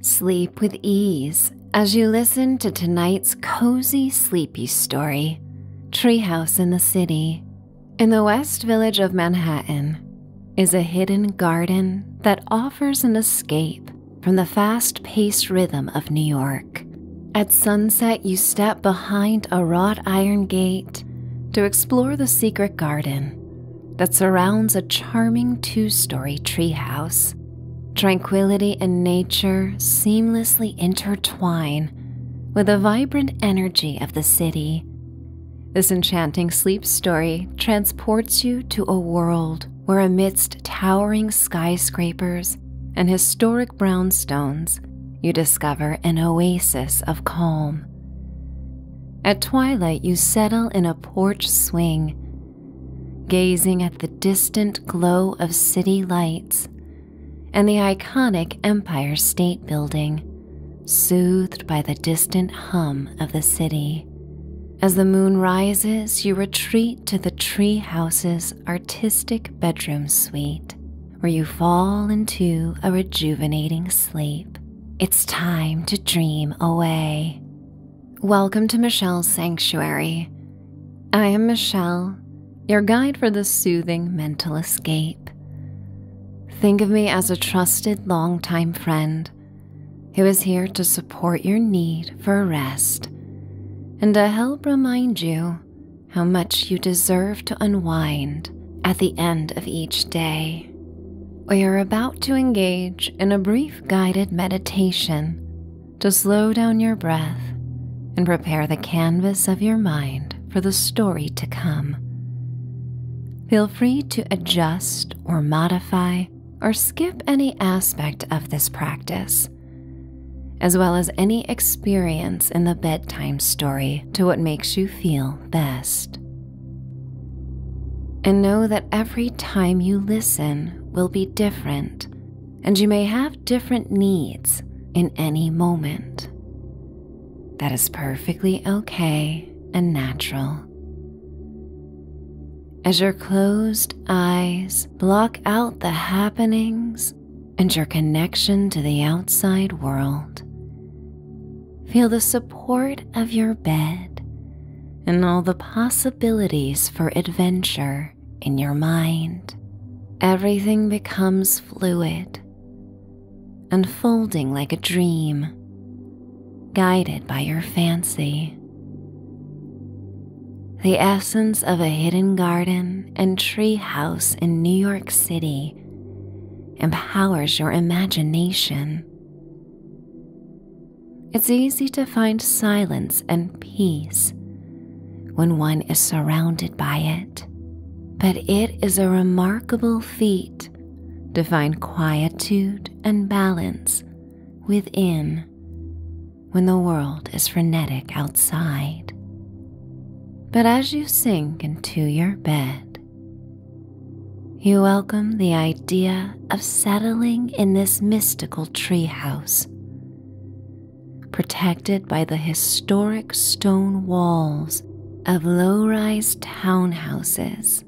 Sleep with ease as you listen to tonight's cozy, sleepy story Treehouse in the City. In the West Village of Manhattan is a hidden garden that offers an escape from the fast paced rhythm of New York. At sunset, you step behind a wrought iron gate to explore the secret garden that surrounds a charming two story treehouse. Tranquility and nature seamlessly intertwine with the vibrant energy of the city. This enchanting sleep story transports you to a world where, amidst towering skyscrapers and historic brownstones, you discover an oasis of calm. At twilight, you settle in a porch swing gazing at the distant glow of city lights and the iconic Empire State Building, soothed by the distant hum of the city. As the moon rises, you retreat to the treehouse's artistic bedroom suite, where you fall into a rejuvenating sleep. It's time to dream away. Welcome to Michelle's Sanctuary. I am Michelle, your guide for this soothing mental escape. Think of me as a trusted longtime friend who is here to support your need for rest and to help remind you how much you deserve to unwind at the end of each day we are about to engage in a brief guided meditation to slow down your breath and prepare the canvas of your mind for the story to come. Feel free to adjust or modify or skip any aspect of this practice, as well as any experience in the bedtime story to what makes you feel best. And know that every time you listen will be different, and you may have different needs in any moment. That is perfectly okay and natural. As your closed eyes block out the happenings and your connection to the outside world, feel the support of your bed and all the possibilities for adventure in your mind. Everything becomes fluid, unfolding like a dream, guided by your fancy. The essence of a hidden garden and tree house in New York City empowers your imagination. It's easy to find silence and peace when one is surrounded by it. But it is a remarkable feat to find quietude and balance within when the world is frenetic outside. But as you sink into your bed, you welcome the idea of settling in this mystical treehouse. Protected by the historic stone walls of low rise townhouses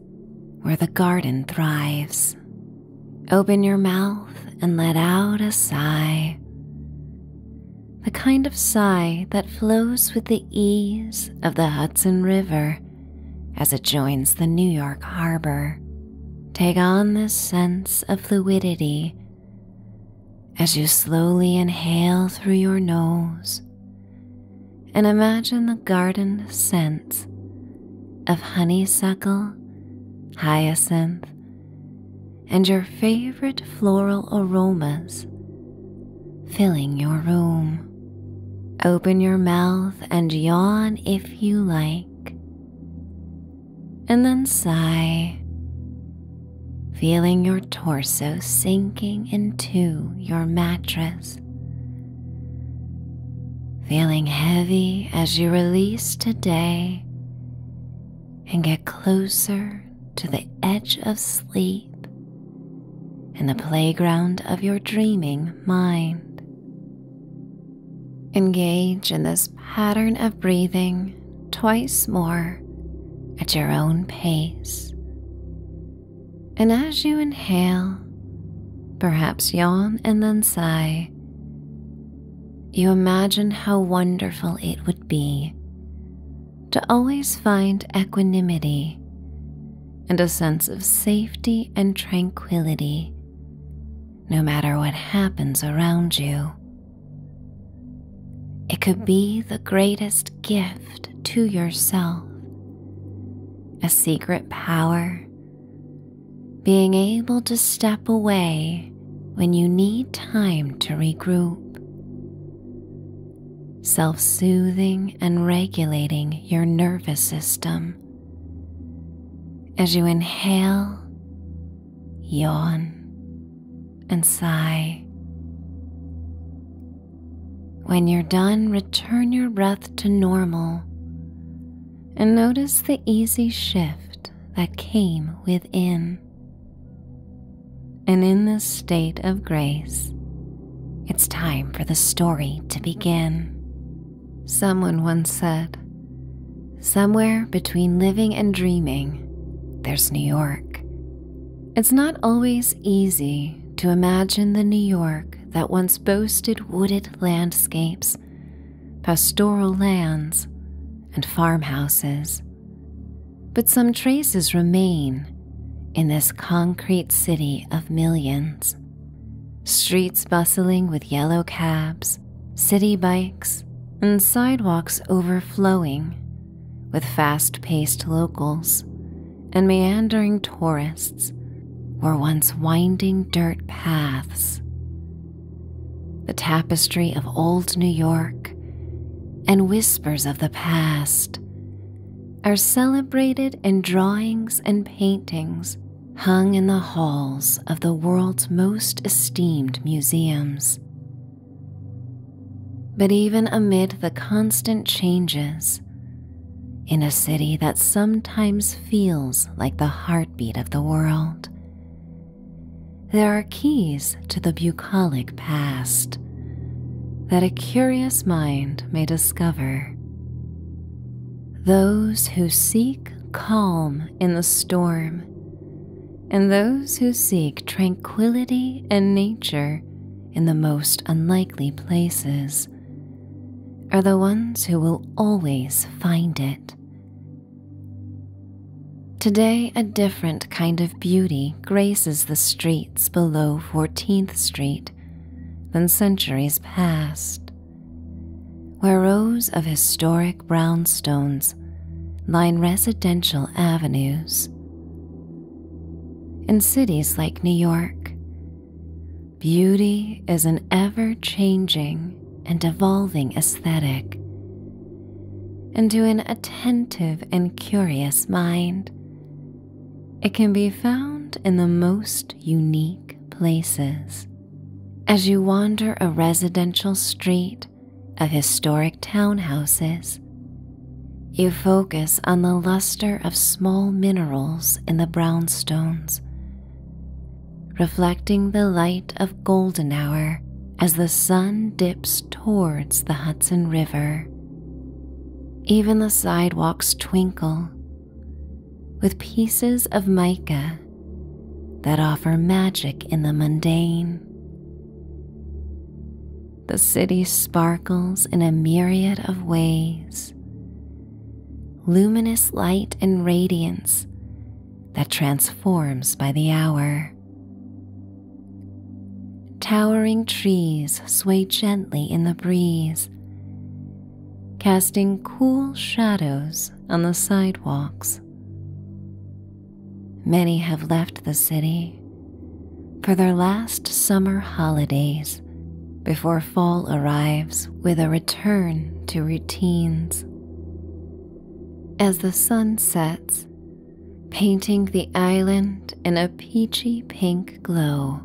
where the garden thrives. Open your mouth and let out a sigh. The kind of sigh that flows with the ease of the Hudson River as it joins the New York harbor. Take on this sense of fluidity as you slowly inhale through your nose and imagine the garden scents of honeysuckle, hyacinth, and your favorite floral aromas filling your room. Open your mouth and yawn if you like, and then sigh, feeling your torso sinking into your mattress, feeling heavy as you release today and get closer to the edge of sleep in the playground of your dreaming mind. Engage in this pattern of breathing twice more at your own pace. And as you inhale, perhaps yawn and then sigh, you imagine how wonderful it would be to always find equanimity and a sense of safety and tranquility no matter what happens around you. It could be the greatest gift to yourself, a secret power, being able to step away when you need time to regroup. Self soothing and regulating your nervous system as you inhale, yawn, and sigh. When you're done, return your breath to normal and notice the easy shift that came within. And in this state of grace, it's time for the story to begin. Someone once said, Somewhere between living and dreaming, there's New York. It's not always easy to imagine the New York that once boasted wooded landscapes, pastoral lands, and farmhouses. But some traces remain in this concrete city of millions. Streets bustling with yellow cabs, city bikes, and sidewalks overflowing with fast paced locals and meandering tourists were once winding dirt paths. The tapestry of old New York and whispers of the past are celebrated in drawings and paintings hung in the halls of the world's most esteemed museums. But even amid the constant changes, in a city that sometimes feels like the heartbeat of the world, there are keys to the bucolic past that a curious mind may discover those who seek calm in the storm, and those who seek tranquility and nature in the most unlikely places are the ones who will always find it. Today, a different kind of beauty graces the streets below 14th Street than centuries past where rows of historic brownstones line residential avenues. In cities like New York, beauty is an ever changing and evolving aesthetic. And to an attentive and curious mind, it can be found in the most unique places. As you wander a residential street of historic townhouses, you focus on the luster of small minerals in the brownstones, reflecting the light of golden hour as the sun dips towards the Hudson River. Even the sidewalks twinkle with pieces of mica that offer magic in the mundane. The city sparkles in a myriad of ways, luminous light and radiance that transforms by the hour. Towering trees sway gently in the breeze casting cool shadows on the sidewalks. Many have left the city for their last summer holidays before fall arrives with a return to routines. As the sun sets, painting the island in a peachy pink glow,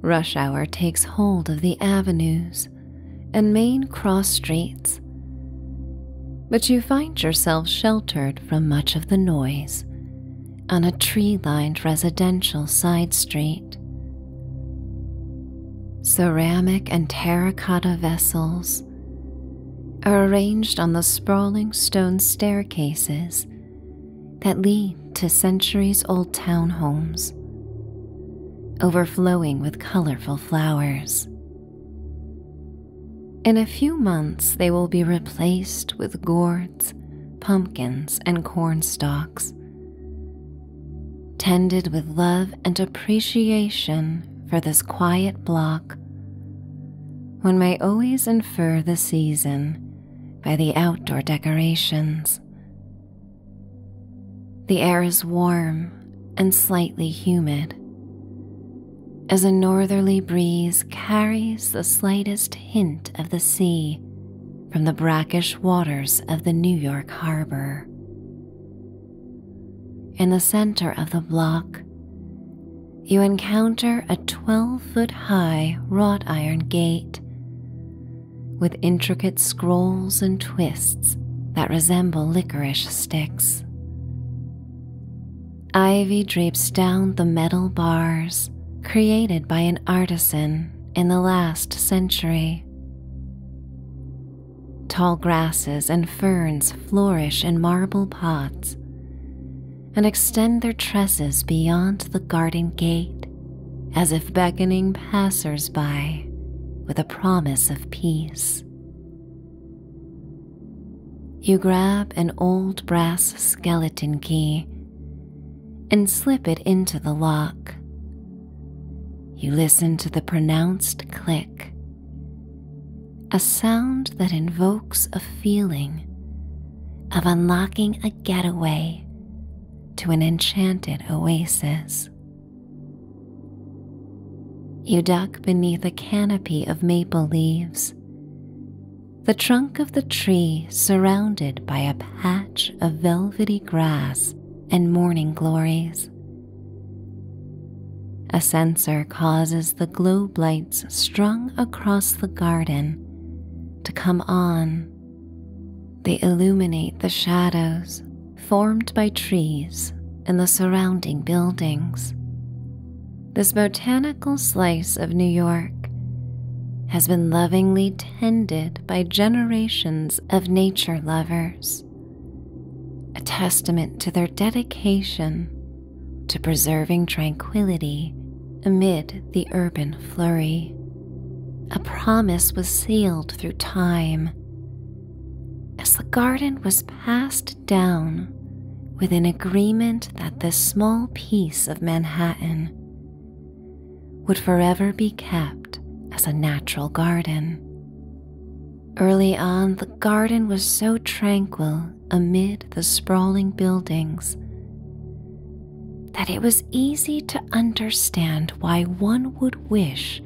rush hour takes hold of the avenues and main cross streets, but you find yourself sheltered from much of the noise on a tree lined residential side street. Ceramic and terracotta vessels are arranged on the sprawling stone staircases that lead to centuries old town homes overflowing with colorful flowers. In a few months, they will be replaced with gourds, pumpkins, and corn stalks. Tended with love and appreciation for this quiet block, one may always infer the season by the outdoor decorations, the air is warm and slightly humid as a northerly breeze carries the slightest hint of the sea from the brackish waters of the New York harbor. In the center of the block, you encounter a 12 foot high wrought iron gate with intricate scrolls and twists that resemble licorice sticks. Ivy drapes down the metal bars created by an artisan in the last century. Tall grasses and ferns flourish in marble pots and extend their tresses beyond the garden gate as if beckoning passers by with a promise of peace. You grab an old brass skeleton key and slip it into the lock. You listen to the pronounced click, a sound that invokes a feeling of unlocking a getaway to an enchanted oasis. You duck beneath a canopy of maple leaves, the trunk of the tree surrounded by a patch of velvety grass and morning glories. A sensor causes the globe lights strung across the garden to come on they illuminate the shadows formed by trees and the surrounding buildings. This botanical slice of New York has been lovingly tended by generations of nature lovers, a testament to their dedication to preserving tranquility amid the urban flurry. A promise was sealed through time as the garden was passed down with an agreement that this small piece of Manhattan would forever be kept as a natural garden. Early on, the garden was so tranquil amid the sprawling buildings that it was easy to understand why one would wish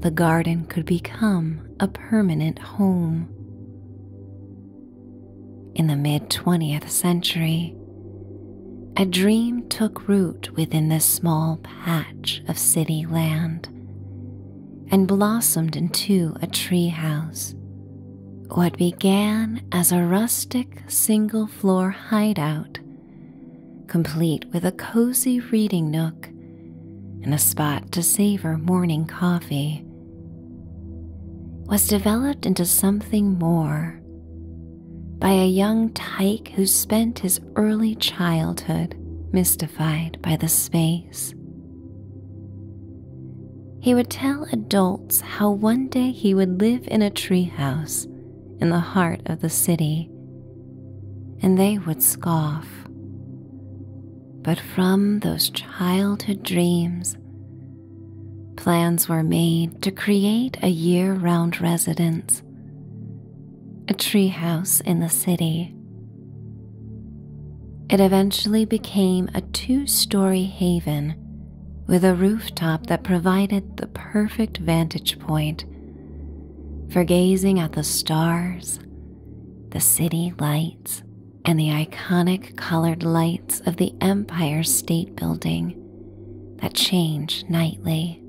the garden could become a permanent home. In the mid 20th century, a dream took root within this small patch of city land and blossomed into a tree house. What began as a rustic single floor hideout complete with a cozy reading nook and a spot to savor morning coffee, was developed into something more by a young tyke who spent his early childhood mystified by the space. He would tell adults how one day he would live in a treehouse in the heart of the city, and they would scoff. But from those childhood dreams, plans were made to create a year round residence, a treehouse in the city. It eventually became a two story haven with a rooftop that provided the perfect vantage point for gazing at the stars, the city lights, and the iconic colored lights of the Empire State Building that change nightly.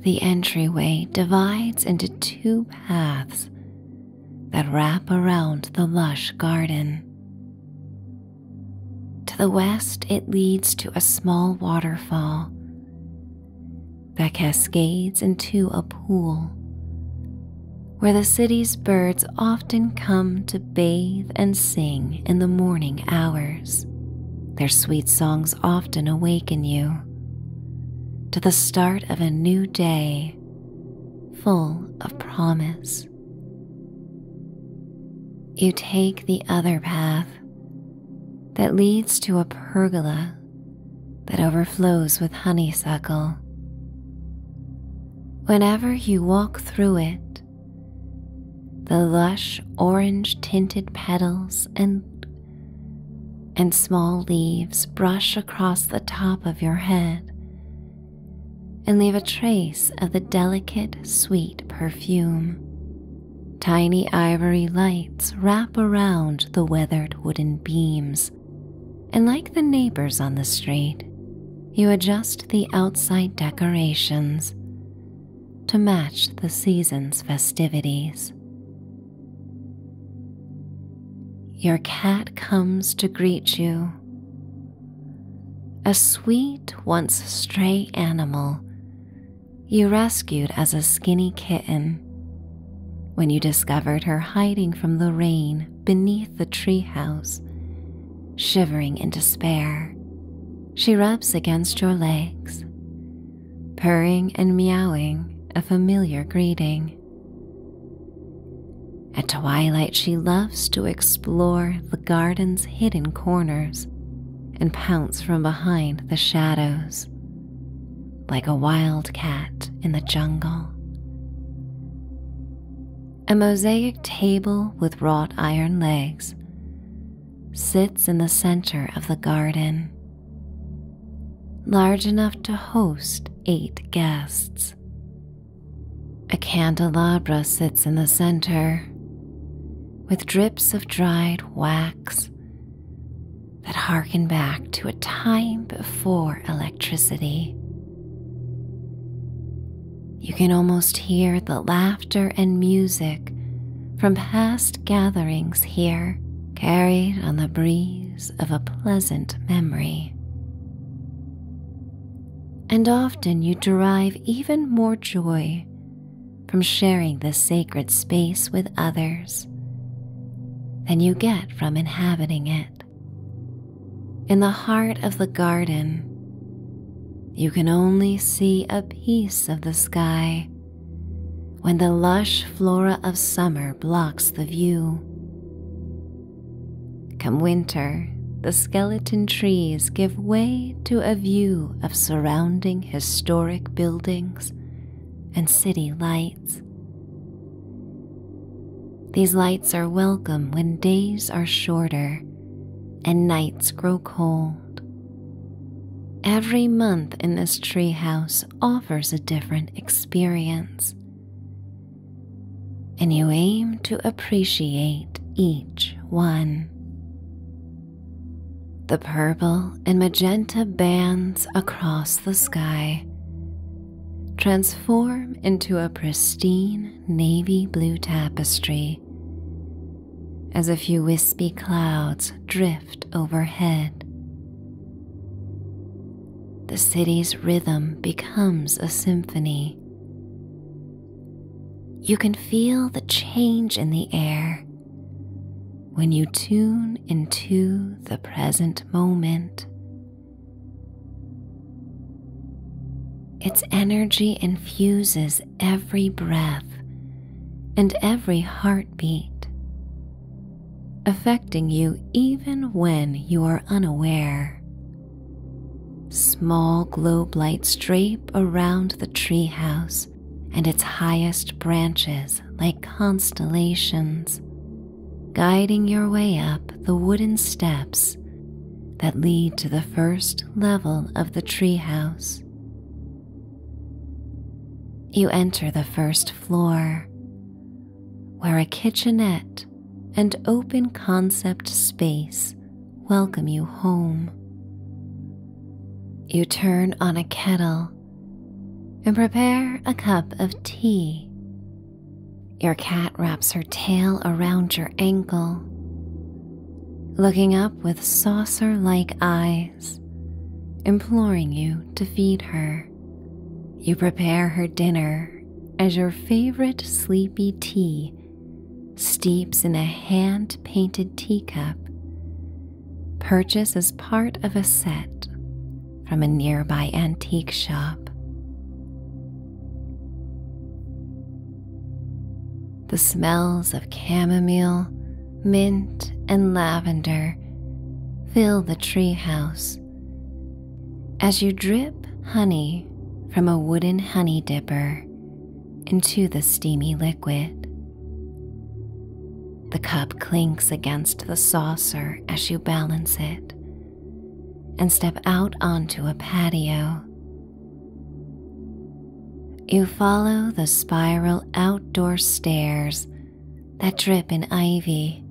The entryway divides into two paths that wrap around the lush garden. To the west, it leads to a small waterfall that cascades into a pool where the city's birds often come to bathe and sing in the morning hours. Their sweet songs often awaken you to the start of a new day full of promise. You take the other path that leads to a pergola that overflows with honeysuckle. Whenever you walk through it, the lush orange tinted petals and and small leaves brush across the top of your head and leave a trace of the delicate sweet perfume. Tiny ivory lights wrap around the weathered wooden beams, and like the neighbors on the street, you adjust the outside decorations to match the season's festivities. Your cat comes to greet you. A sweet, once stray animal you rescued as a skinny kitten. When you discovered her hiding from the rain beneath the treehouse, shivering in despair, she rubs against your legs, purring and meowing a familiar greeting. At twilight, she loves to explore the garden's hidden corners and pounce from behind the shadows like a wild cat in the jungle. A mosaic table with wrought iron legs sits in the center of the garden, large enough to host eight guests. A candelabra sits in the center, with drips of dried wax that harken back to a time before electricity. You can almost hear the laughter and music from past gatherings here, carried on the breeze of a pleasant memory. And often you derive even more joy from sharing this sacred space with others than you get from inhabiting it. In the heart of the garden, you can only see a piece of the sky when the lush flora of summer blocks the view. Come winter, the skeleton trees give way to a view of surrounding historic buildings and city lights. These lights are welcome when days are shorter and nights grow cold. Every month in this treehouse offers a different experience, and you aim to appreciate each one. The purple and magenta bands across the sky transform into a pristine navy blue tapestry as a few wispy clouds drift overhead. The city's rhythm becomes a symphony. You can feel the change in the air when you tune into the present moment. Its energy infuses every breath and every heartbeat, affecting you even when you are unaware. Small globe lights drape around the treehouse and its highest branches like constellations, guiding your way up the wooden steps that lead to the first level of the treehouse. You enter the first floor, where a kitchenette and open concept space welcome you home. You turn on a kettle and prepare a cup of tea. Your cat wraps her tail around your ankle, looking up with saucer like eyes, imploring you to feed her. You prepare her dinner as your favorite sleepy tea steeps in a hand painted teacup purchase as part of a set from a nearby antique shop. The smells of chamomile, mint, and lavender fill the treehouse as you drip honey from a wooden honey dipper into the steamy liquid. The cup clinks against the saucer as you balance it and step out onto a patio. You follow the spiral outdoor stairs that drip in ivy,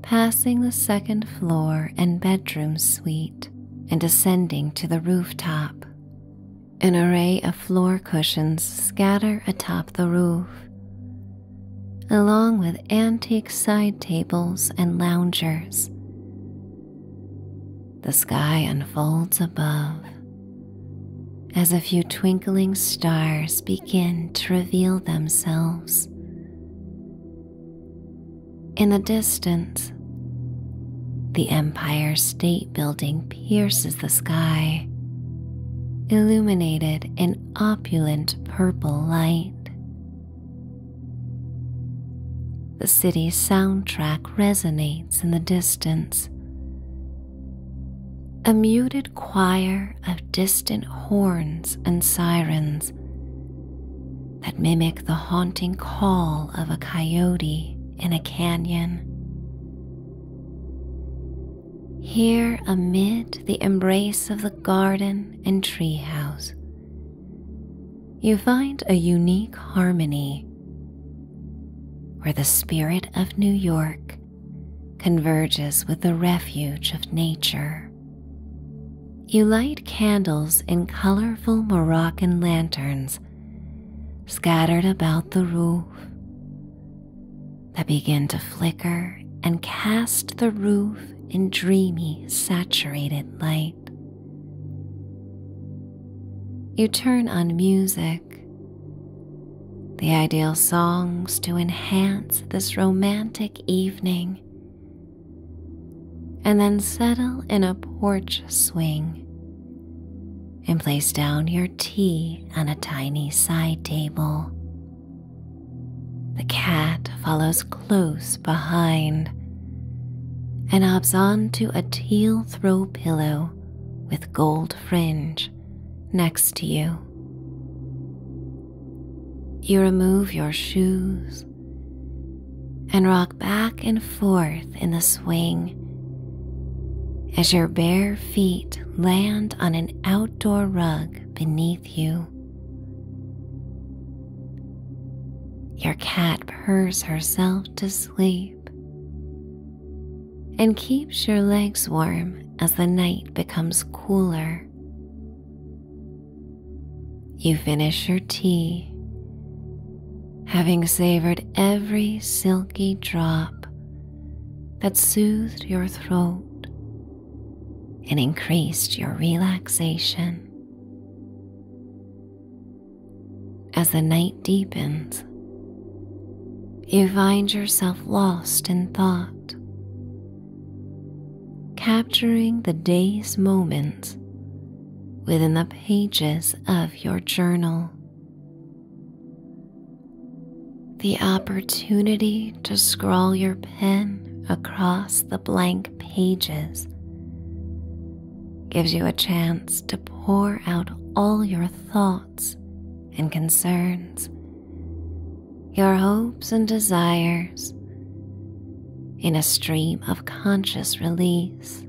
passing the second floor and bedroom suite and ascending to the rooftop. An array of floor cushions scatter atop the roof, along with antique side tables and loungers. The sky unfolds above as a few twinkling stars begin to reveal themselves. In the distance, the Empire State building pierces the sky, illuminated in opulent purple light. The city's soundtrack resonates in the distance. A muted choir of distant horns and sirens that mimic the haunting call of a coyote in a canyon. Here, amid the embrace of the garden and treehouse, you find a unique harmony where the spirit of New York converges with the refuge of nature. You light candles in colorful Moroccan lanterns scattered about the roof, that begin to flicker and cast the roof in dreamy, saturated light. You turn on music, the ideal songs to enhance this romantic evening, and then settle in a porch swing and place down your tea on a tiny side table. The cat follows close behind and hops onto a teal throw pillow with gold fringe next to you. You remove your shoes and rock back and forth in the swing as your bare feet land on an outdoor rug beneath you. Your cat purrs herself to sleep and keeps your legs warm as the night becomes cooler. You finish your tea, having savored every silky drop that soothed your throat and increased your relaxation. As the night deepens, you find yourself lost in thought, capturing the day's moments within the pages of your journal the opportunity to scrawl your pen across the blank pages gives you a chance to pour out all your thoughts and concerns, your hopes and desires in a stream of conscious release.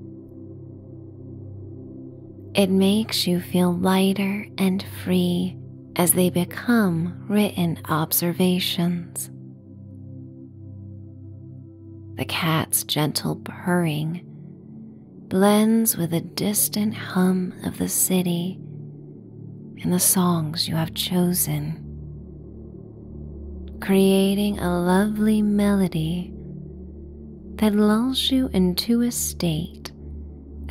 It makes you feel lighter and free as they become written observations. The cat's gentle purring blends with a distant hum of the city and the songs you have chosen, creating a lovely melody that lulls you into a state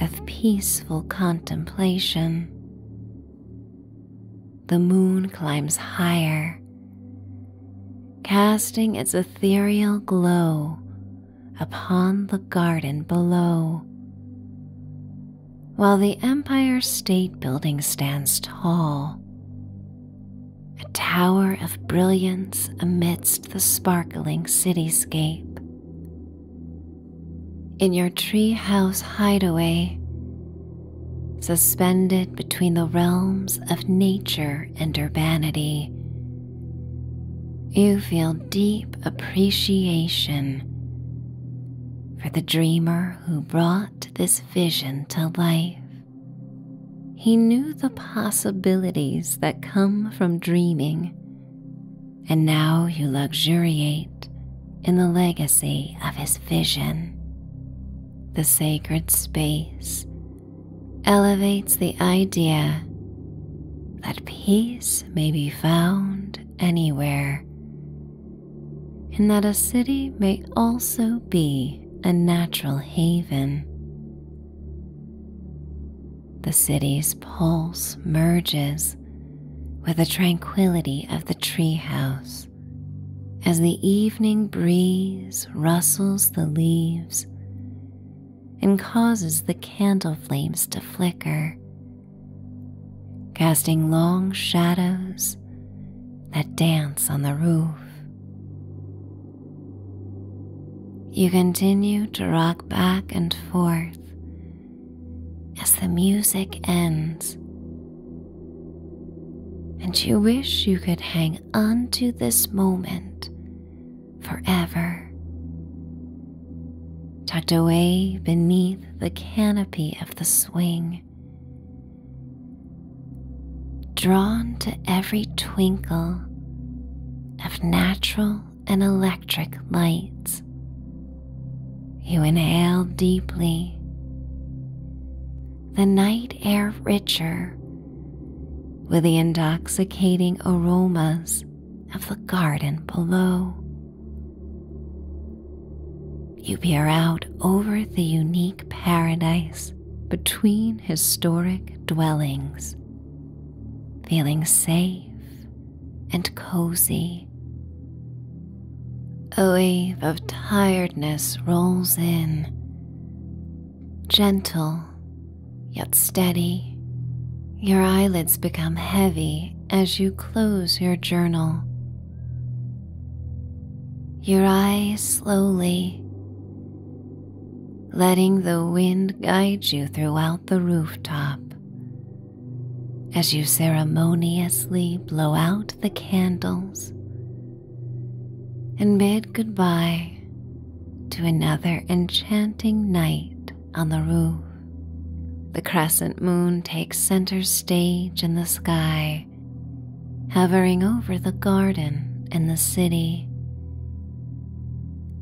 of peaceful contemplation. The moon climbs higher, casting its ethereal glow upon the garden below, while the Empire State Building stands tall, a tower of brilliance amidst the sparkling cityscape in your treehouse hideaway, suspended between the realms of nature and urbanity, you feel deep appreciation for the dreamer who brought this vision to life. He knew the possibilities that come from dreaming and now you luxuriate in the legacy of his vision. The sacred space elevates the idea that peace may be found anywhere, and that a city may also be a natural haven the city's pulse merges with the tranquility of the treehouse as the evening breeze rustles the leaves and causes the candle flames to flicker, casting long shadows that dance on the roof. You continue to rock back and forth as the music ends, and you wish you could hang on to this moment forever, tucked away beneath the canopy of the swing. Drawn to every twinkle of natural and electric lights. You inhale deeply, the night air richer with the intoxicating aromas of the garden below. You peer out over the unique paradise between historic dwellings, feeling safe and cozy. A wave of tiredness rolls in, gentle yet steady. Your eyelids become heavy as you close your journal. Your eyes slowly, letting the wind guide you throughout the rooftop as you ceremoniously blow out the candles and bid goodbye to another enchanting night on the roof. The crescent moon takes center stage in the sky, hovering over the garden and the city,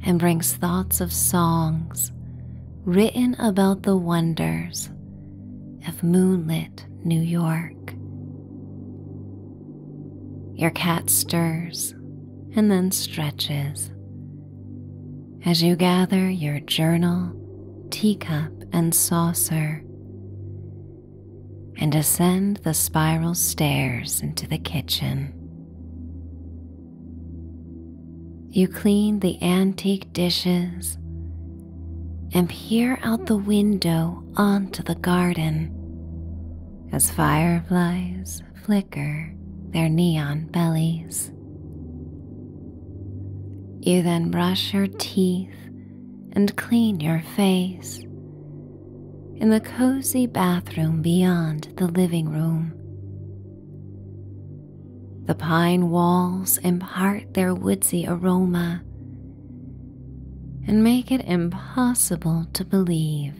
and brings thoughts of songs written about the wonders of moonlit New York. Your cat stirs and then stretches as you gather your journal, teacup, and saucer and ascend the spiral stairs into the kitchen. You clean the antique dishes and peer out the window onto the garden as fireflies flicker their neon bellies. You then brush your teeth and clean your face in the cozy bathroom beyond the living room the pine walls impart their woodsy aroma and make it impossible to believe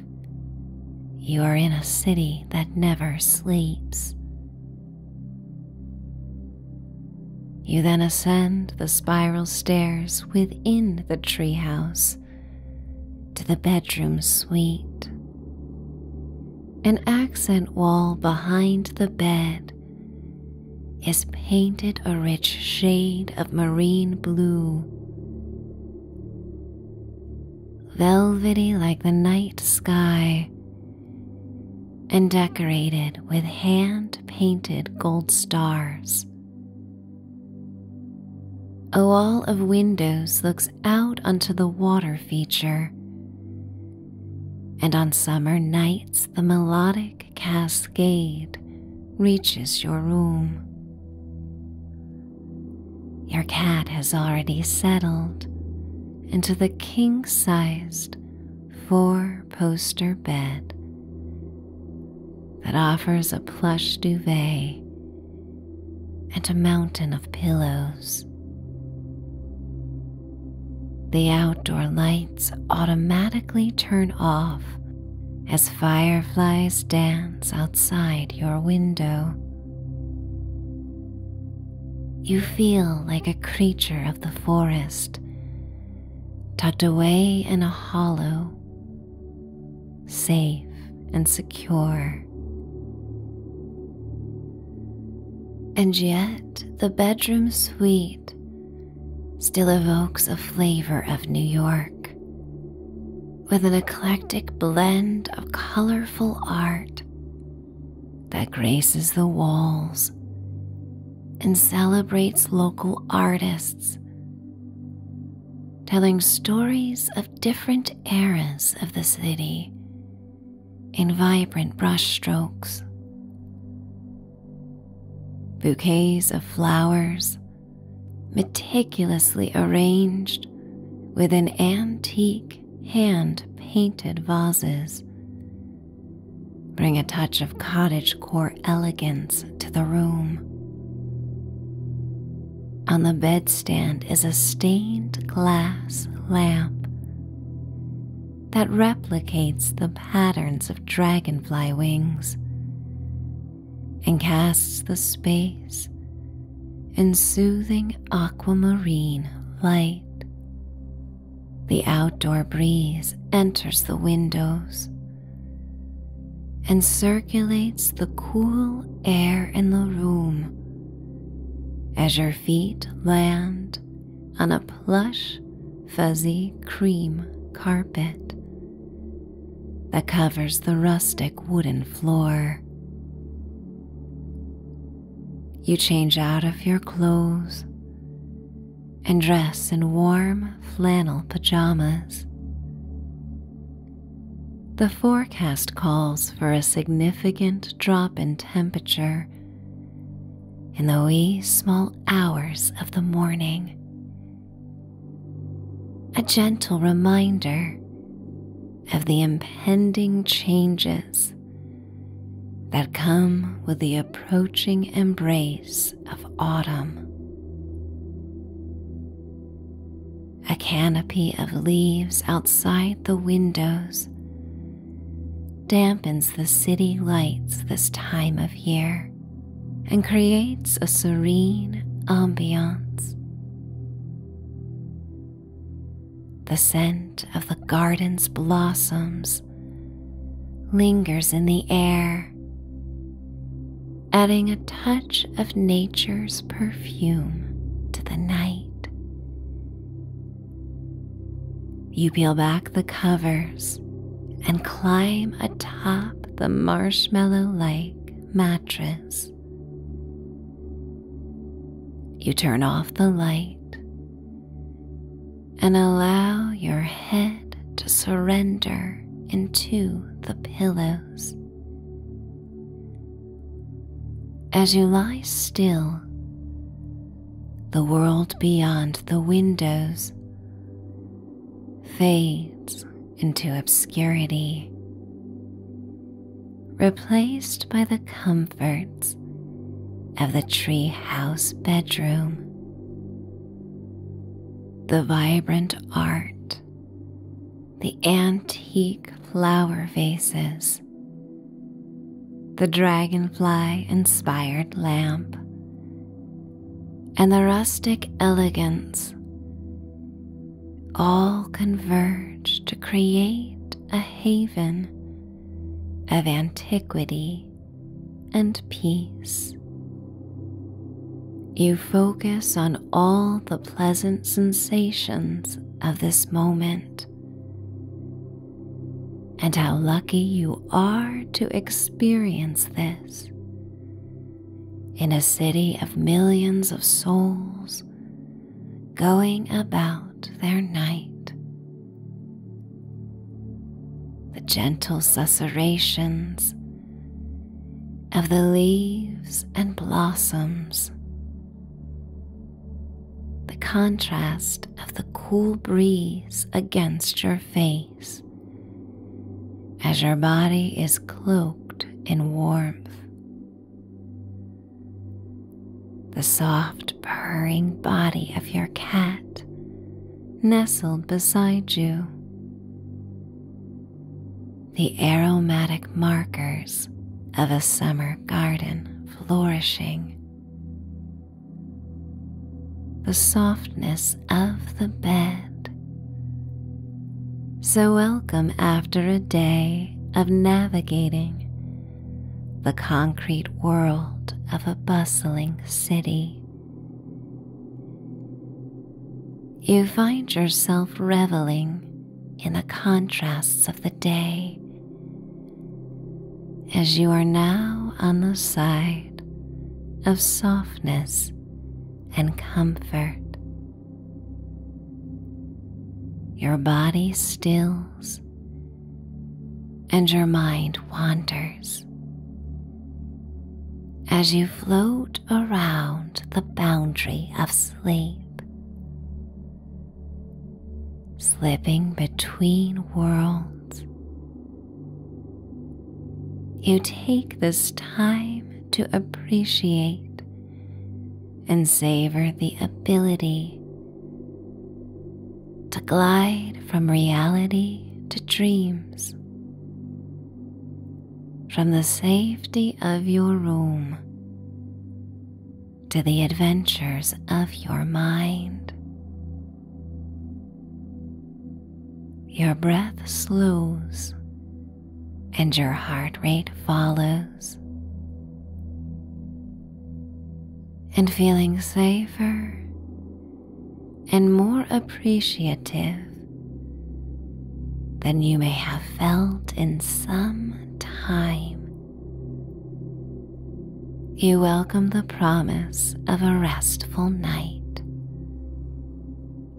you are in a city that never sleeps. You then ascend the spiral stairs within the treehouse to the bedroom suite an accent wall behind the bed is painted a rich shade of marine blue, velvety like the night sky, and decorated with hand painted gold stars. A wall of windows looks out onto the water feature. And on summer nights, the melodic cascade reaches your room. Your cat has already settled into the king sized four poster bed that offers a plush duvet and a mountain of pillows. The outdoor lights automatically turn off as fireflies dance outside your window. You feel like a creature of the forest, tucked away in a hollow, safe and secure. And yet, the bedroom suite still evokes a flavor of New York with an eclectic blend of colorful art that graces the walls and celebrates local artists, telling stories of different eras of the city in vibrant brushstrokes, Bouquets of flowers, meticulously arranged within antique hand painted vases, bring a touch of cottagecore elegance to the room. On the bedstand is a stained glass lamp that replicates the patterns of dragonfly wings and casts the space in soothing aquamarine light. The outdoor breeze enters the windows and circulates the cool air in the room as your feet land on a plush, fuzzy cream carpet that covers the rustic wooden floor. You change out of your clothes and dress in warm flannel pajamas. The forecast calls for a significant drop in temperature in the wee small hours of the morning. A gentle reminder of the impending changes that come with the approaching embrace of autumn a canopy of leaves outside the windows dampens the city lights this time of year and creates a serene ambiance. The scent of the garden's blossoms lingers in the air, adding a touch of nature's perfume to the night you peel back the covers and climb atop the marshmallow like mattress. You turn off the light and allow your head to surrender into the pillows. As you lie still, the world beyond the windows fades into obscurity, replaced by the comforts of the treehouse bedroom. The vibrant art, the antique flower vases, the dragonfly inspired lamp, and the rustic elegance all converge to create a haven of antiquity and peace. You focus on all the pleasant sensations of this moment and how lucky you are to experience this in a city of millions of souls going about their night. The gentle susurrations of the leaves and blossoms the contrast of the cool breeze against your face as your body is cloaked in warmth. The soft purring body of your cat nestled beside you. The aromatic markers of a summer garden flourishing. The softness of the bed. So, welcome after a day of navigating the concrete world of a bustling city. You find yourself reveling in the contrasts of the day as you are now on the side of softness and comfort. Your body stills and your mind wanders as you float around the boundary of sleep slipping between worlds. You take this time to appreciate and savor the ability to glide from reality to dreams, from the safety of your room to the adventures of your mind. Your breath slows and your heart rate follows. And feeling safer and more appreciative than you may have felt in some time. You welcome the promise of a restful night,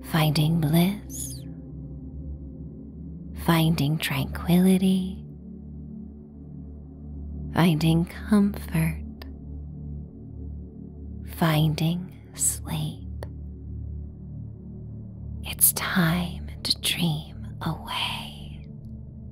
finding bliss, finding tranquility, finding comfort, finding sleep. It's time to dream away.